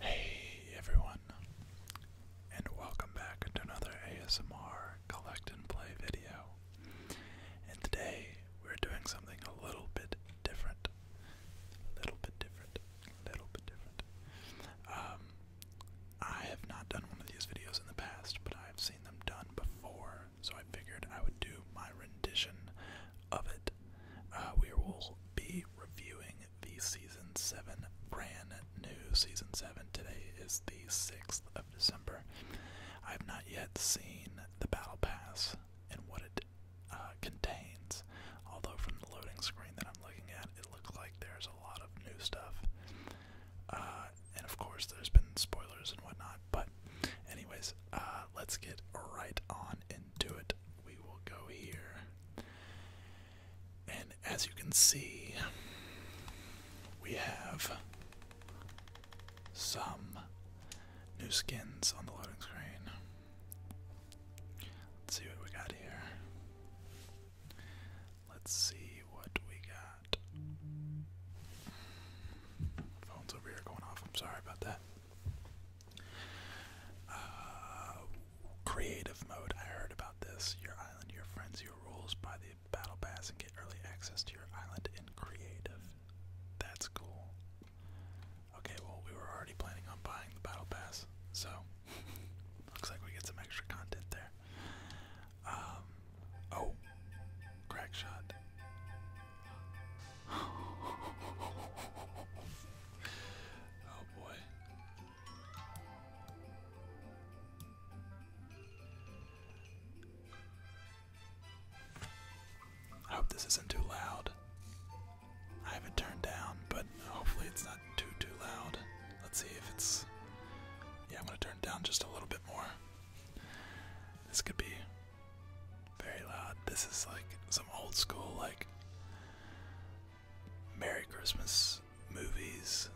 Hey everyone, and welcome back to another ASMR collect and play video. And today we're doing something a little bit different. A little bit different. A little bit different. Um, I have not done one of these videos in the past, but I've seen them done before, so I figured I would do my rendition of it. Uh, we will be reviewing the season 7 brand new season 7. Today is the 6th of December. I have not yet seen the Battle Pass and what it uh, contains, although from the loading screen that I'm looking at, it looks like there's a lot of new stuff. Uh, and of course, there's been spoilers and whatnot, but, anyways, let's get right on into it we will go here. And as you can see, we have some new skins on the loading screen. Let's see what we got here. Let's see what we got. Phone's over here going off. I'm sorry about that. Uh, creative mode. I heard about this. Your island, your friends, your rules. Buy the battle pass and get early access to your island in creative. That's cool. Okay, well, we were already planning on buying the battle pass, so looks like we get some extra content there. Um, oh, crack oh boy. I hope this isn't too loud. I have it turned down, but hopefully it's not too too loud. Let's see if it's yeah, I'm gonna turn down just a little bit more. This could be very loud. This is like some old school, like Merry Christmas movies.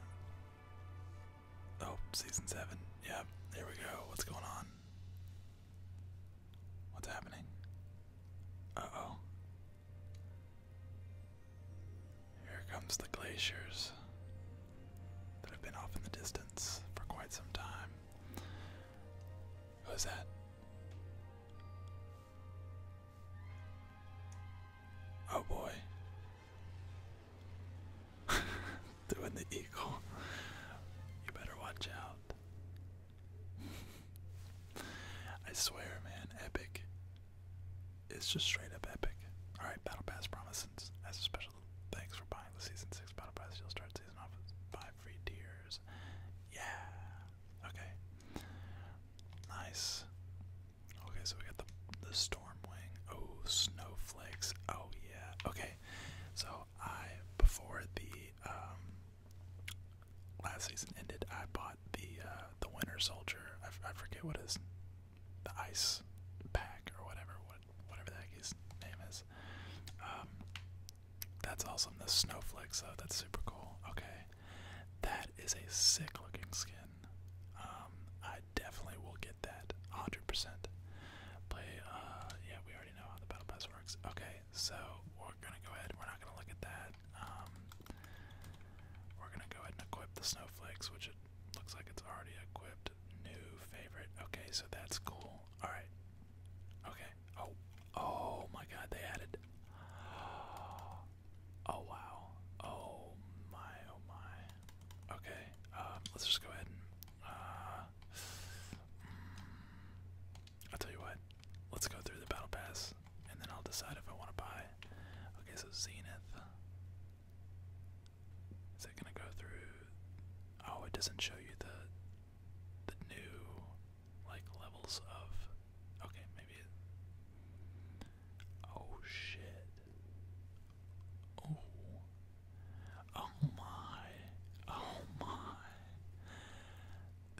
Oh, season seven. Yeah, here we go. What's going on? What's happening? oh. Here comes the glaciers that have been off in the distance for quite some time. Who's that? Oh boy. Doing the eagle. You better watch out. I swear, man, epic. It's just straight up epic. Alright, Battle Pass Promises. As a special thanks for buying the Season 6 Battle Pass, you'll start Season 5 free tiers. Yeah! Okay. Nice. Okay, so we got the the storm wing. Oh, snowflakes. Oh yeah. Okay. So I before the um, last season ended, I bought the uh, the Winter Soldier. I forget what his the ice pack or whatever what whatever the heck his name is. Um, that's awesome. The snowflakes though, that's super cool. Okay. That is a sick looking skin. Um, I definitely will get that. 100%. Play, uh, yeah, we already know how the battle pass works. Okay, so we're gonna go ahead, we're not gonna look at that. Um, we're gonna go ahead and equip the snowflakes, which it looks like it's already equipped. New favorite. Okay, so that's cool. Alright. Okay. Oh, oh my God! They added. Oh wow! Oh my! Oh my! Okay, um, let's just go ahead uh, mm, i tell you what. Let's go through the battle pass, and then I'll decide if I want to buy. Okay, so Zenith. Is it gonna go through? Oh, it doesn't show you the the new like levels of okay, maybe it Oh shit. Oh. Oh my. Oh my.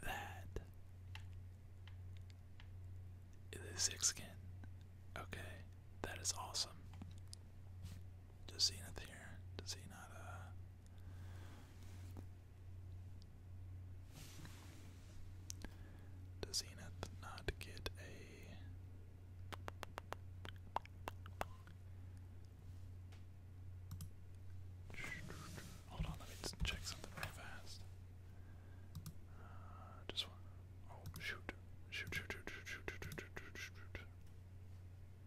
that the six skin. Okay. That is awesome. Does Zenith here? Does he not uh does Zenith not get a. Hold on, let me check something real fast. Uh, just one. Oh, shoot, shoot, shoot, shoot, shoot, shoot, shoot, shoot.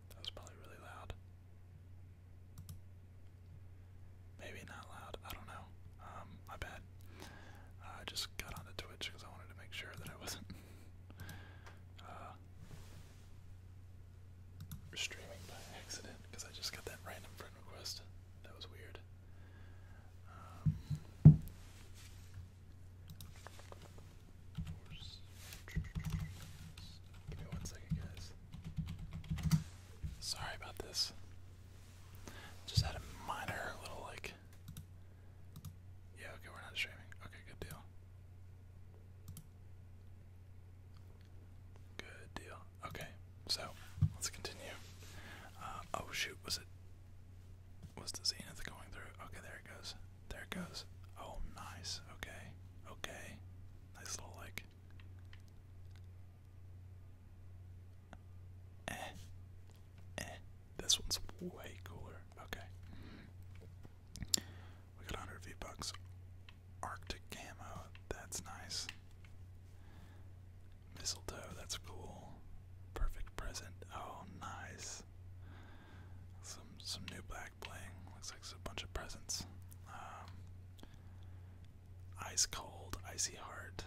That was probably really loud. Maybe not loud. I don't know. Um, my bad. I just got onto Twitch because I wanted to make sure that I wasn't uh, streaming by accident because I just got that random friend request. That was weird. Um, Give me one second, guys. Sorry about this. Just had a minor little like. Yeah, okay, we're not streaming. Okay, good deal. Good deal. Okay, so let's continue. Uh, oh shoot, was it? Was the zenith going through? Okay, there it goes. There it goes. Oh, nice. Okay, okay. Nice little like this one's way cooler. Okay. We got 100 V-Bucks. Arctic Camo. That's nice. Mistletoe. That's cool. Perfect present. Oh, nice. Some some new black bling. Looks like a bunch of presents. Um, Ice cold, icy heart.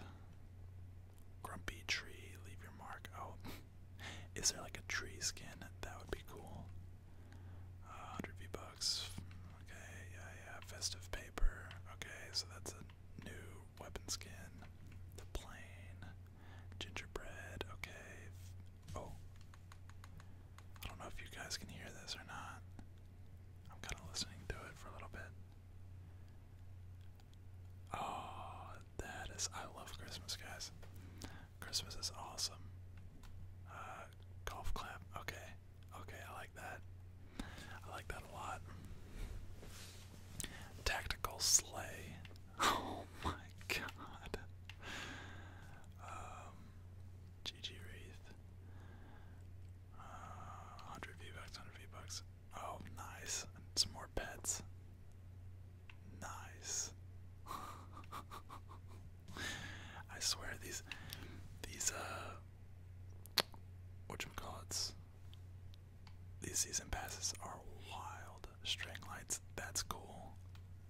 Grumpy tree, leave your mark. Oh, is there like a tree skin? That would be cool. Uh, 100 V bucks. Okay, yeah, yeah. Festive paper. Okay, so that's a new weapon skin. The plane. Gingerbread. Okay. Oh. I don't know if you guys can hear this or not. I'm kind of listening to it for a little bit. Oh, that is. I love Christmas, guys. Christmas is awesome. Uh, golf clap. Okay. Okay, I like that. I like that a lot. Tactical sleigh. Oh my god. Um, Wreath. Uh, 100 V-Bucks, 100 V-Bucks. Oh, nice. And some more pets. Nice. I swear these, these, uh, whatchamacallits, these season passes are wild. String lights, that's cool.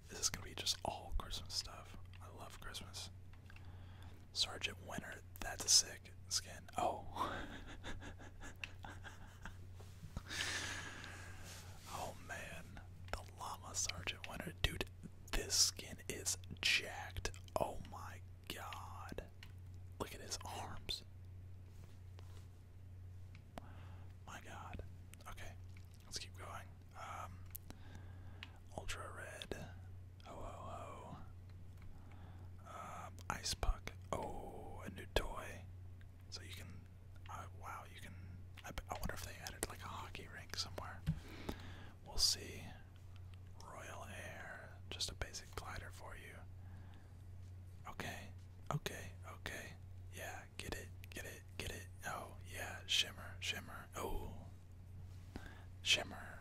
This is gonna be just all Christmas stuff. I love Christmas. Sergeant Winter, that's a sick skin. Oh. oh man, the llama Sergeant Winter. Dude, this skin is jacked. Oh my god. Look at his arms. My god. Okay, let's keep going. Um, Ultra Red, Ho oh, oh, Ho oh. Ho, uh, Ice Puck, oh, a new toy. So you can, uh, wow, you can, I wonder if they added like a hockey rink somewhere. We'll see. Royal Air, just a basic glider for you. Okay, okay, okay. Yeah, get it, get it, get it. Oh, yeah, shimmer, shimmer. Oh, Shimmer.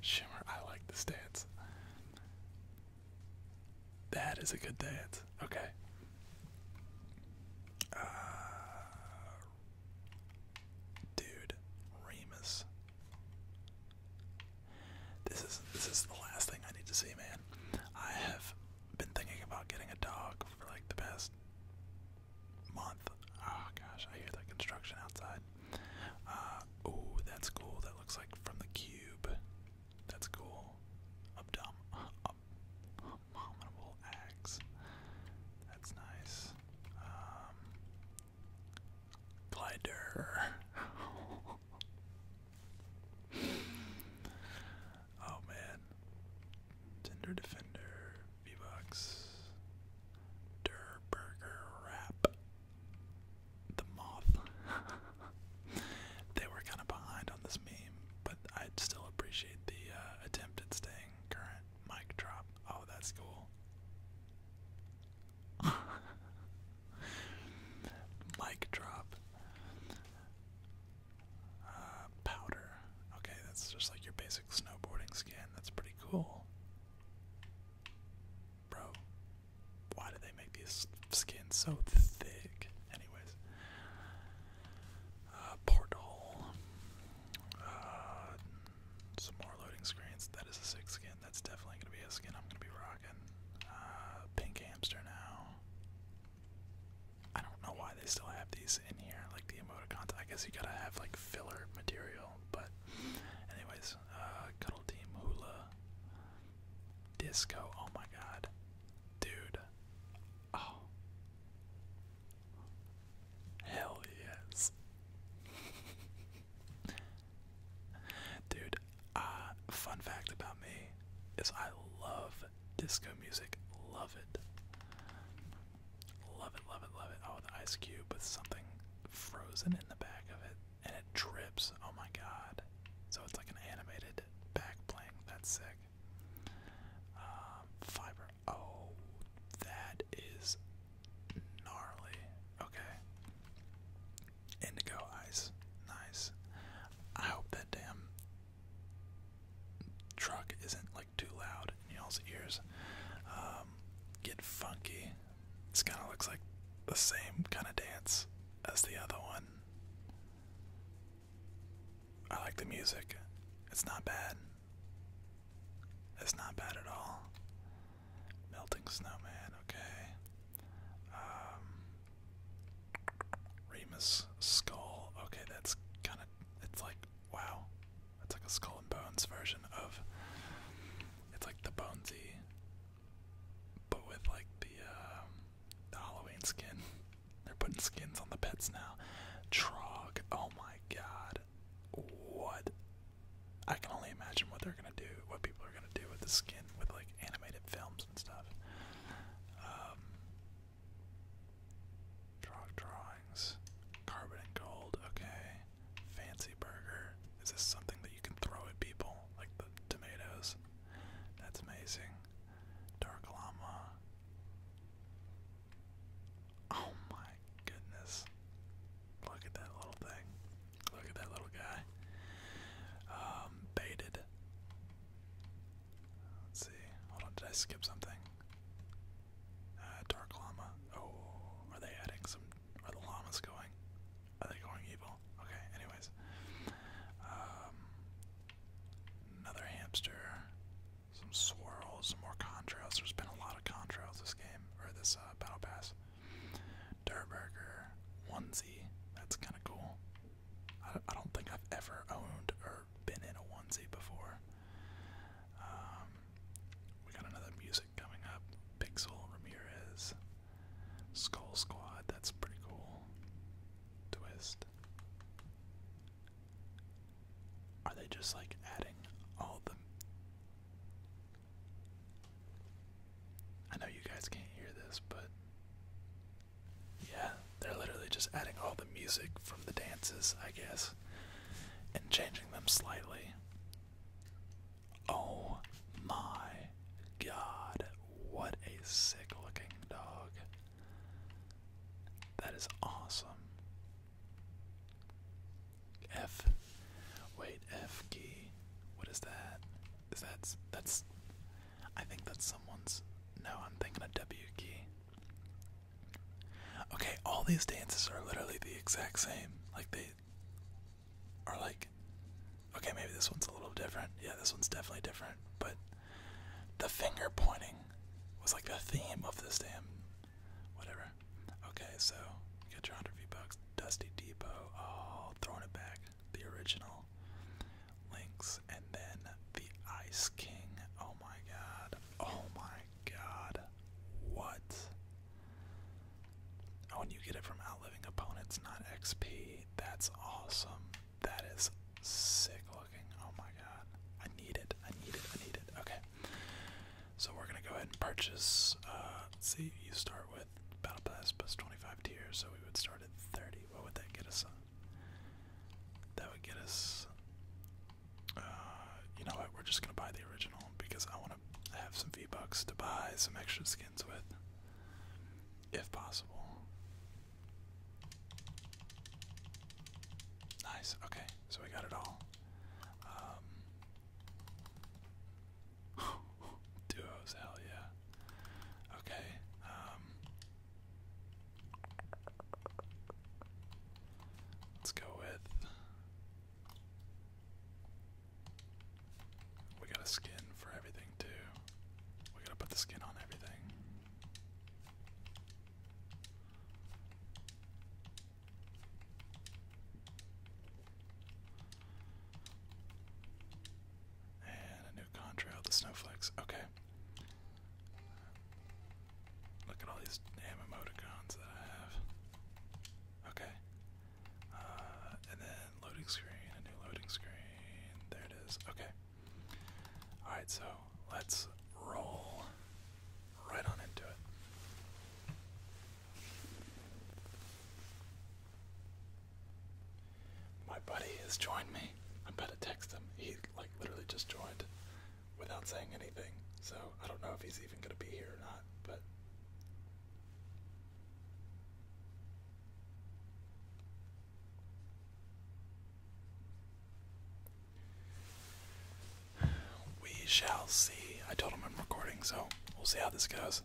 Shimmer, I like this dance. That is a good dance. Okay. Uh, dude, Remus. This is this is the last thing I need to see, man. I have been thinking about getting a dog for like the past month. Oh gosh, I hear that construction outside. oh, that's cool. That looks like from the cube. That's cool. Abdom abominable axe. That's nice. Um, glider. oh man. Tinder defender. V-Bucks. Der Wrap. The Moth. they were kind of behind on this meme, but I still appreciate the uh, attempt at staying current. Mic drop. Oh, that's cool. Mic drop. Uh, powder. Okay, that's just like your basic snowboarding skin. That's pretty cool. Bro, why do they make these skins so thick? Anyways, uh, portal, uh, some more loading screens. That is a six skin. That's definitely gonna be a skin I'm gonna be rocking. Uh, pink hamster now. I don't know why they still have these in here, like the emoticons. I guess you gotta have like filler material, but Anyways, uh, Cuddle Team Hula Disco. Oh my god. Dude. Oh. Hell yes. Dude, uh, fun fact about me is I love disco music. Love it. Love it, love it, love it. Oh, the ice cube with something frozen in the back of it. And it drips. Oh my god. So it's like an animated back bling. That's sick. Um, fiber. Oh, that is gnarly. Okay. Indigo ice. Nice. I hope that damn truck isn't too loud y'all's ears um, get funky. This kind of looks like the same kind of dance as the other one. I like the music. It's not bad. It's not bad at all. Melting snowman, okay. Um, Remus skull, okay, that's kind of, it's like, wow. It's like a Skull and Bones version of. It's like the Bonesy, but with like the, um, the Halloween skin. They're putting skins on the pets now. Trog. Oh my god. What? I can only imagine what they're gonna do, what people are gonna do with the skin, with like animated films and stuff. Um, Trog drawings. Carbon and gold. Okay. Fancy burger. Is this something that you can throw at people? Like the tomatoes? That's amazing. Dark llama. Oh my goodness. Look at that little thing. Look at that little guy. Um, baited. Let's see. Hold on, did I skip something? Uh, dark llama. Oh, are they adding some? Are the llamas going? Are they going evil? Okay. Anyways, um, another hamster. Some swirls. Some more contrails. There's been a lot of contrails this game or this uh, battle pass. Dirtburger onesie. That's kind of cool. I, I don't think I've ever owned or been in a onesie before. Um, we got another music coming up. Pixel Ramirez. Skull Squad, that's pretty cool. Twist. Are they just like adding all the I know you guys can't hear this, but yeah, they're literally just adding all the music from the dances, I guess, and changing them slightly. Oh my god, what a sick looking dog. That is awesome. F. Wait, F key. What is that? Is that that's I think that's someone's No, I'm thinking a W key. Okay, all these dances are literally the exact same. Like they are like okay, maybe this one's a little different. Yeah, this one's definitely different, but the finger pointing was like the theme of this damn whatever. Okay, so get your hundred V bucks, Dusty Depot, oh throwing it back, the original links, and then the Ice King. Oh my god. Oh my god, what? Oh, and you get it from outliving opponents, not XP. That's awesome. That is sick looking. Oh my god. I need it. I need it. I need it. Okay. So we're gonna go ahead and purchase uh see, you start with Battle Pass plus twenty five tiers, so we would start at thirty. What would that get us on? That would get us uh, you know what? We're just gonna buy the original because I want to have some V bucks to buy some extra skins with, if possible. Nice. Okay, so we got it all. Um, hell yeah. Okay. Um, let's go with. We got a skin for everything too. We gotta put the skin on everything. And a new contrail, the snowflakes. Okay. Look at all these damn emoticons that I have. Okay. Uh, and then loading screen, a new loading screen. There it is. Okay. Alright, so let's roll right on into it. My buddy has joined me. I'm about to text him. He like literally just joined without saying anything. So I don't know if he's even gonna be here or not, but we shall see. I told him I'm recording, so we'll see how this goes.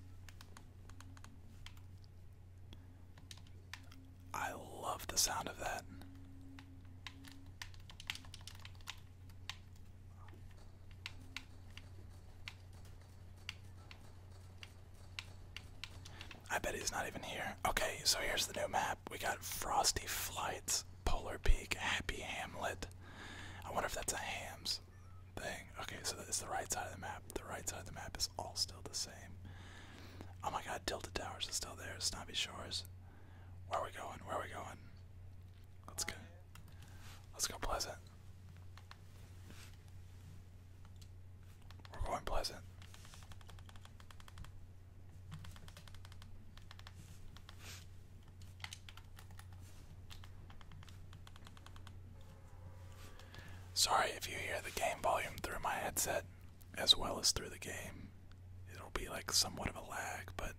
I love the sound of that. I bet he's not even here. Okay, so here's the new map. We got Frosty Flights, Polar Peak, Happy Hamlet. I wonder if that's a hams thing. Okay, so it's the right side of the map. The right side of the map is all still the same. Oh my god, Tilted Towers is still there. Snobby Shores. Where are we going? Where are we going? Let's go. Let's go Pleasant. We're going Pleasant. Sorry if you hear the game volume through my headset as well as through the game. It'll be like somewhat of a lag, but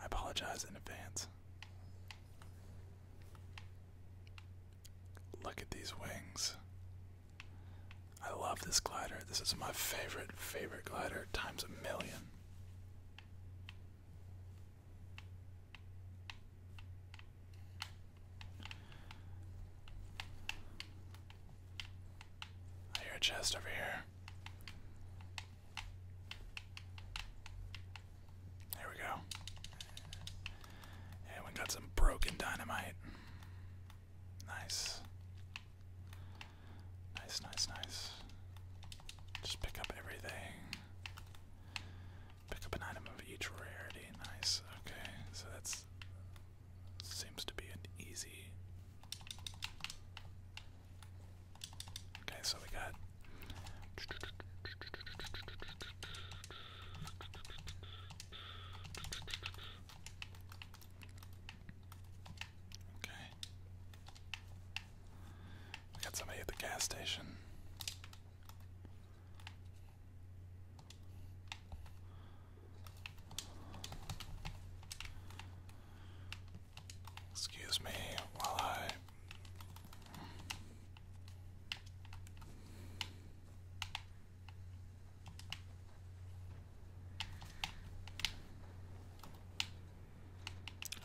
I apologize in advance. Look at these wings. I love this glider. This is my favorite, favorite glider times a million. I chest over here. There we go. And we got some broken dynamite. Nice. Nice, nice, nice. Just pick up everything. Pick up an item of each rarity. Nice. Okay, so that's seems to be an easy Okay, so we got. Okay. We got somebody at the gas station. Excuse me while I.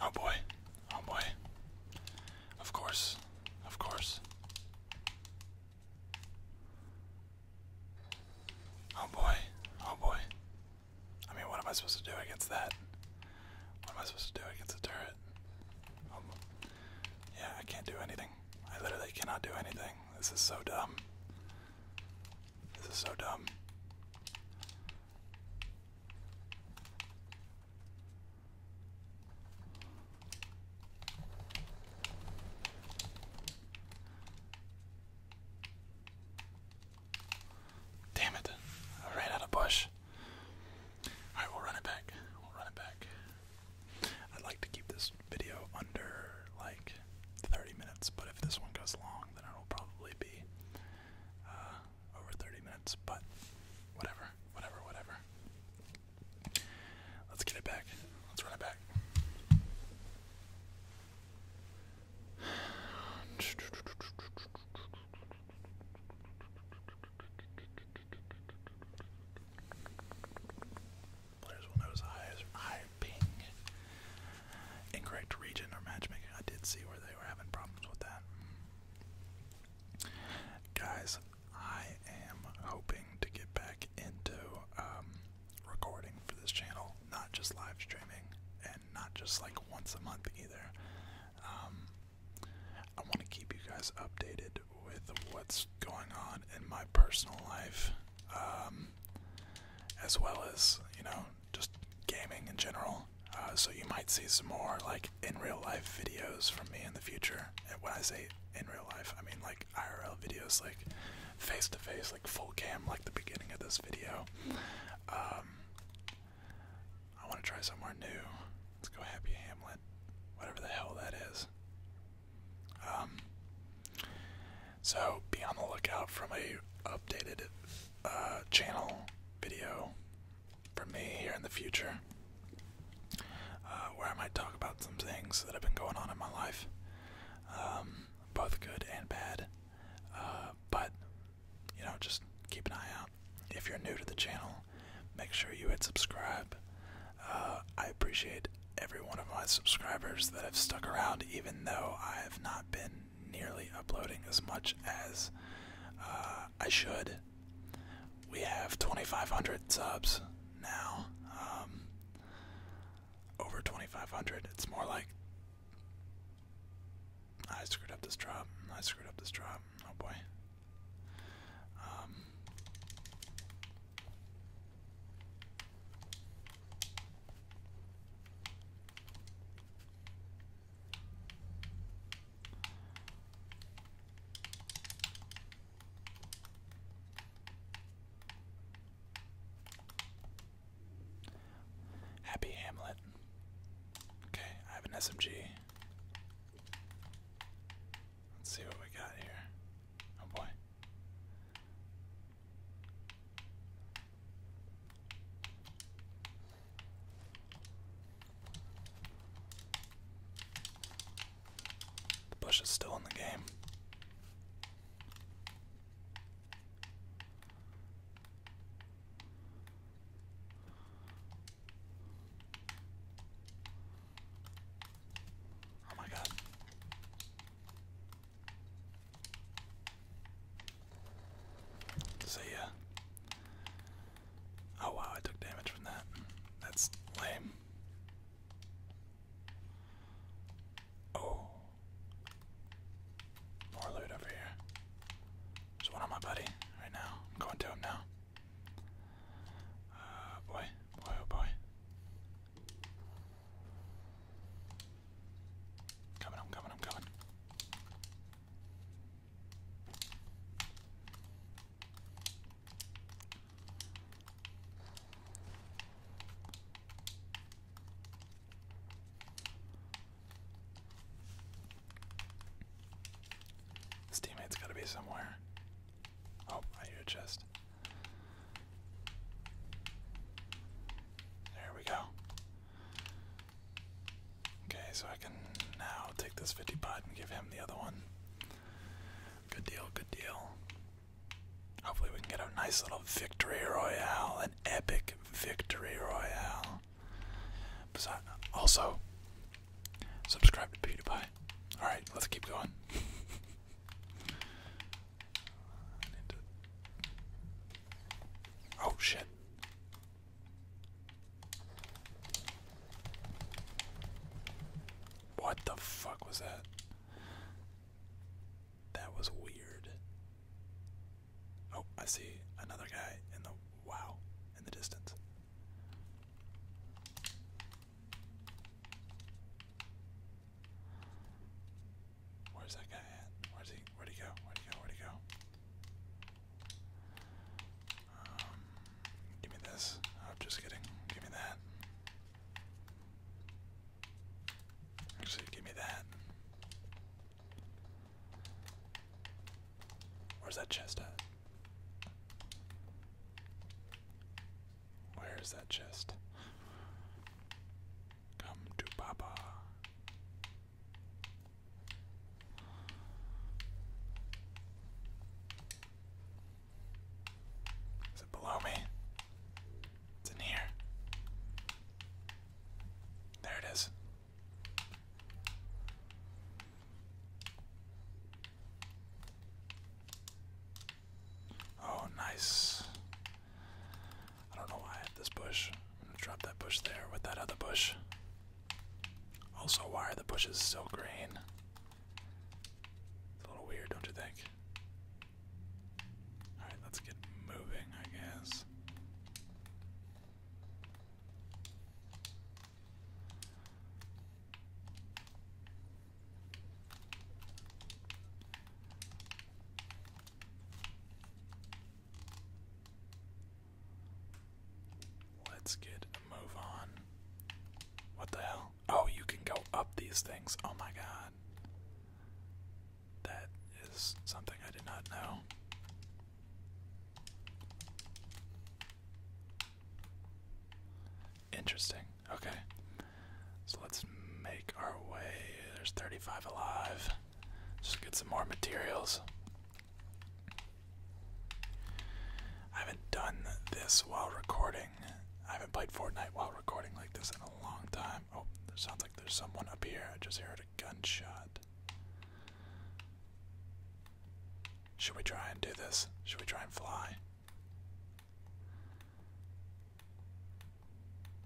Oh boy. Oh boy. Of course. Of course. Oh boy. Oh boy. I mean, what am I supposed to do against that? What am I supposed to do against the turret? Um, yeah, I can't do anything. I literally cannot do anything. This is so dumb. This is so dumb. Damn it. I ran out of bush. Alright, we'll run it back. We'll run it back. I'd like to keep this video under like 30 minutes, but if this one goes long, then it'll probably be uh, over 30 minutes. But whatever, whatever, whatever. Let's get it back. Let's run it back. Players will notice high, ping. Incorrect region or matchmaking. I did see where they were having problems with that. Guys, I am hoping to get back into um, recording for this channel, not just live streaming, and not just like once a month either. Um, I want to keep you guys updated with what's going on in my personal life, um, as well as, you know, just gaming in general. Uh, so you might see some more, like, in real life videos from me in the future. And when I say in real life, I mean, like, IRL videos, like, face to face, like, full cam, like the beginning of this video. Um, I want to try somewhere new. Let's go Happy Hamlet, whatever the hell that is. Um, so be on the lookout for a updated uh, channel video from me here in the future, uh, where I might talk about some things that have been going on in my life, um, both good and bad. Uh, but you know, just keep an eye out. If you're new to the channel, make sure you hit subscribe. Uh, I appreciate every one of my subscribers that have stuck around, even though I have not been nearly uploading as much as uh, I should. We have 2,500 subs now. Um, over 2,500. It's more like I screwed up this drop. I screwed up this drop. Oh boy. Um, Happy Hamlet. Okay, I have an SMG. Let's see what we got here. Oh boy. The bush is still in the game. Oh my god. See ya. Uh, oh wow, I took damage from that. That's lame. Oh. More loot over here. There's one on my buddy right now. I'm going to him now. Uh, boy, boy, oh boy. Coming, I'm coming, I'm coming. His teammate's gotta be somewhere. Oh, I hear a chest. There we go. Okay, so I can now take this 50 pod and give him the other one. Good deal, good deal. Hopefully, we can get a nice little victory royale, an epic victory royale also, subscribe to PewDiePie. Alright, let's keep going. Oh shit. What the fuck was that? That was weird. Oh, I see another guy in the wow in the distance. Where's that guy at? Where's he? Where'd he go? Where'd he go? Where'd he go? Um, give me this. Oh, I'm just kidding. Give me that. Actually, give me that. Where's that chest at? Where is that chest? Come to Papa. Is it below me? It's in here. There it is. Oh, nice. I don't know why this bush. I'm gonna drop that bush there with that other bush. Also, why are the bushes so green? It's a little weird, don't you think? Alright, let's get moving, I guess. Let's get move on. What the hell? Oh, you can go up these things. Oh my god. That is something I did not know. Interesting. Okay. So let's make our way. There's 35 alive. Just get some more materials. I haven't done this while recording. I haven't played Fortnite while recording like this in a long time. Oh, sounds like there's someone up here. I just heard a gunshot. Should we try and do this? Should we try and fly?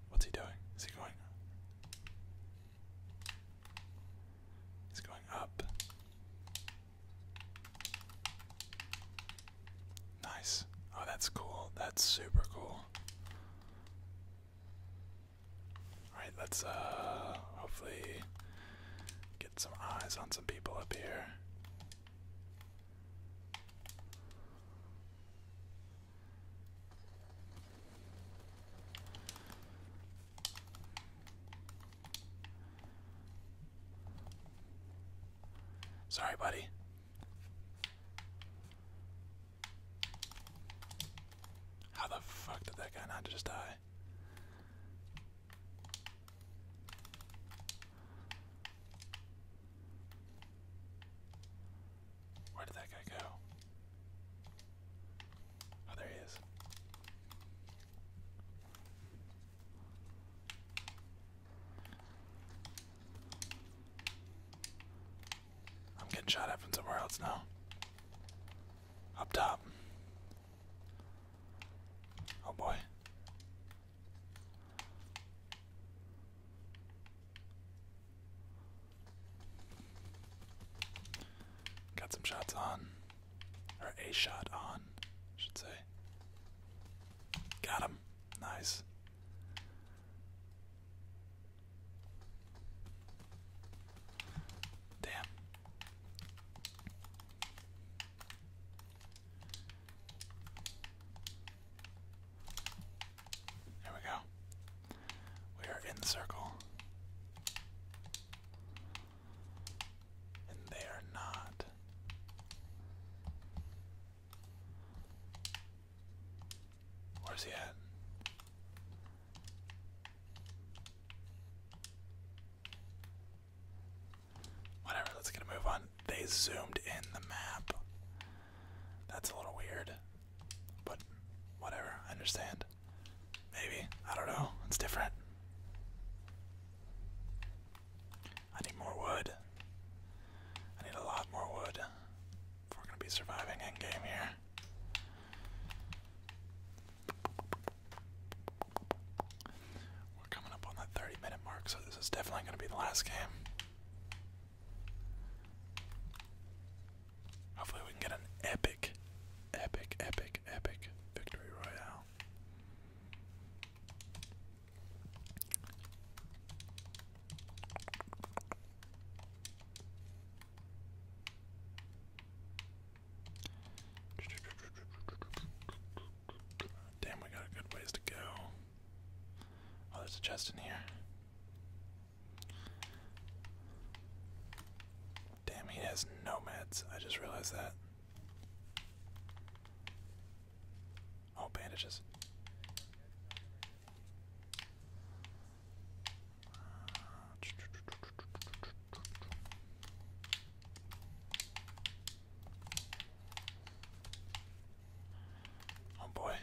What's he doing? Is he going? He's going up. Nice. Oh, that's cool. That's super cool. Alright, let's uh, hopefully get some eyes on some people up here. Sorry, buddy. How the fuck did that guy not just die? Where did that guy go? Oh, there he is. I'm getting shot at from somewhere else now. Up top. Oh boy. Got some shots on. Or a shot on, should say. Got him. Nice. Damn. There we go. We are in the circle. And they are not. Where's he at? Whatever, let's get move on. They zoomed in the map. That's a little weird. But whatever, I understand. Maybe. I don't know. It's different. I need more wood. I need a lot more wood. If we're gonna be surviving endgame here. We're coming up on that 30 minute mark, so this is definitely going to be the last game. Hopefully, we can get an epic, epic, epic, epic victory royale. Damn, we got a good ways to go. Oh, there's a chest in here. Damn, he has no meds. I just realized that. Oh, bandages. Oh boy.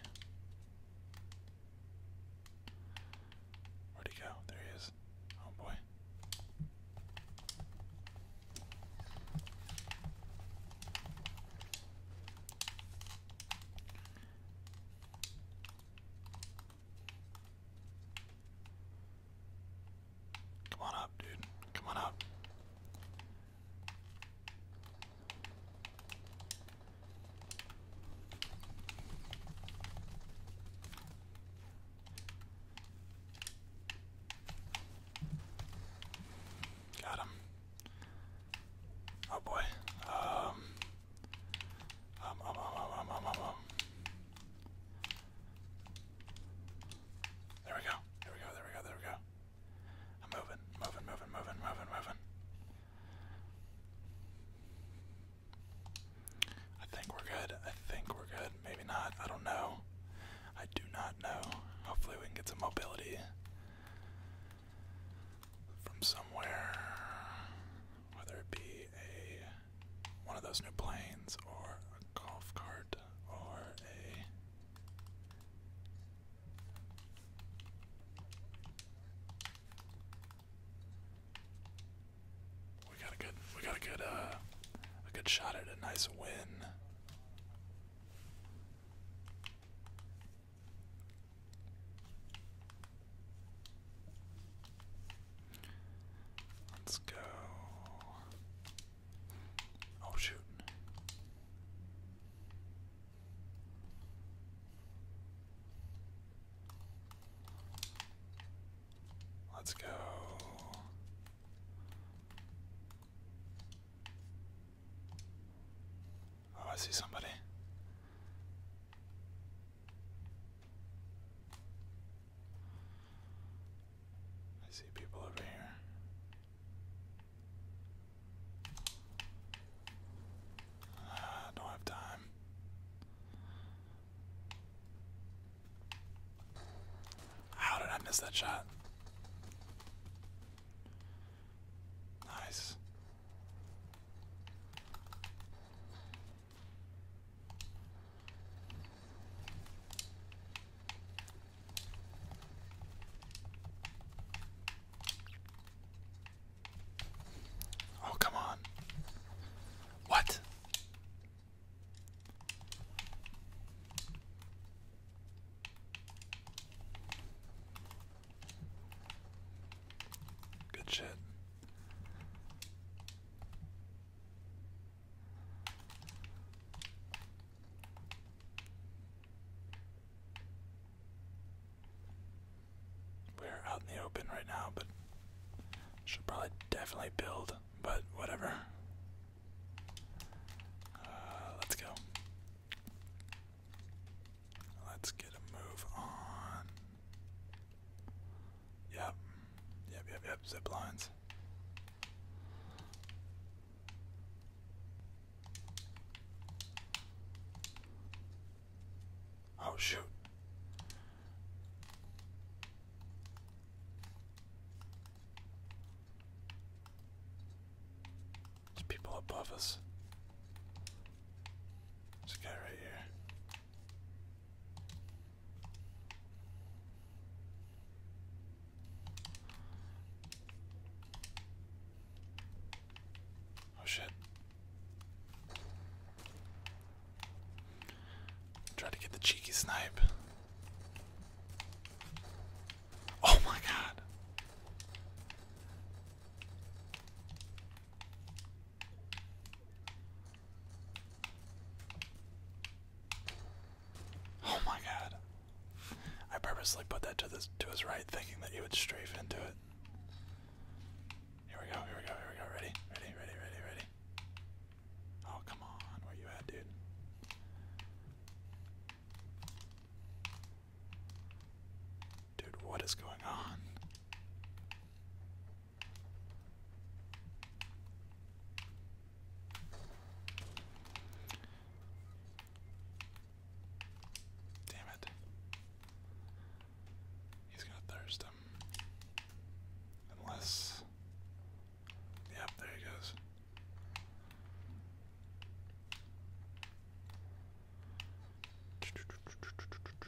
Where'd he go? There he is. Oh boy. Come on up, dude. Come on up. Got him. Oh boy. Um um, um, um, there we go. There we go. There we go. There we go. I'm moving, moving, moving, moving, moving, moving. I think we're good. I think we're good. Maybe not. I don't know. I do not know. Hopefully, we can get some mobility from somewhere whether it be a one of those new planes or a golf cart or a we got a good we got a good uh a good shot at a nice win. Let's go. Oh, shoot. Let's go. Oh, I see somebody. I see people over here. Uh, don't have time. How did I miss that shot? Nice. Oh, come on. What? Good shit. We're out in the open right now, but should probably definitely build, but whatever. Uh, let's go. Let's get a move on. Yep. Yep, yep, yep. Zip lines. Oh, shoot. There's people above us. There's a guy right here. Oh shit. Try to get the cheeky snipe. Oh my god. Oh my god. I purposely put that to this to his right thinking that he would strafe into it. Here we go, here we go, here we go. Ready? Ready, ready, ready, ready. Oh come on, where you at, dude? Dude, what is going on? Damn it. He's gonna thirst him. Unless. Yep, there he goes.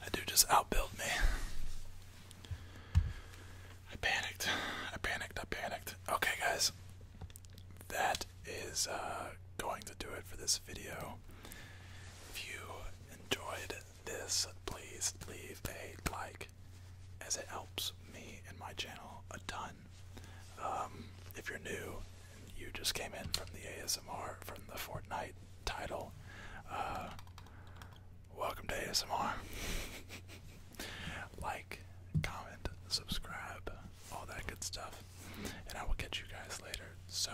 That dude just outbuilt me. I panicked. I panicked. I panicked. Okay, guys. That is uh, going to do it for this video. If you enjoyed this, please leave a like as it helps me and my channel a ton. Um, if you're new, you just came in from the ASMR from the Fortnite title. Uh, welcome to ASMR. like, comment, subscribe, all that good stuff. And I will catch you guys later. So,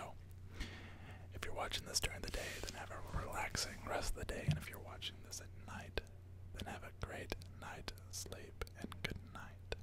if you're watching this during the day, then have a relaxing rest of the day. And if you're watching this at night, then have a great night sleep and good night.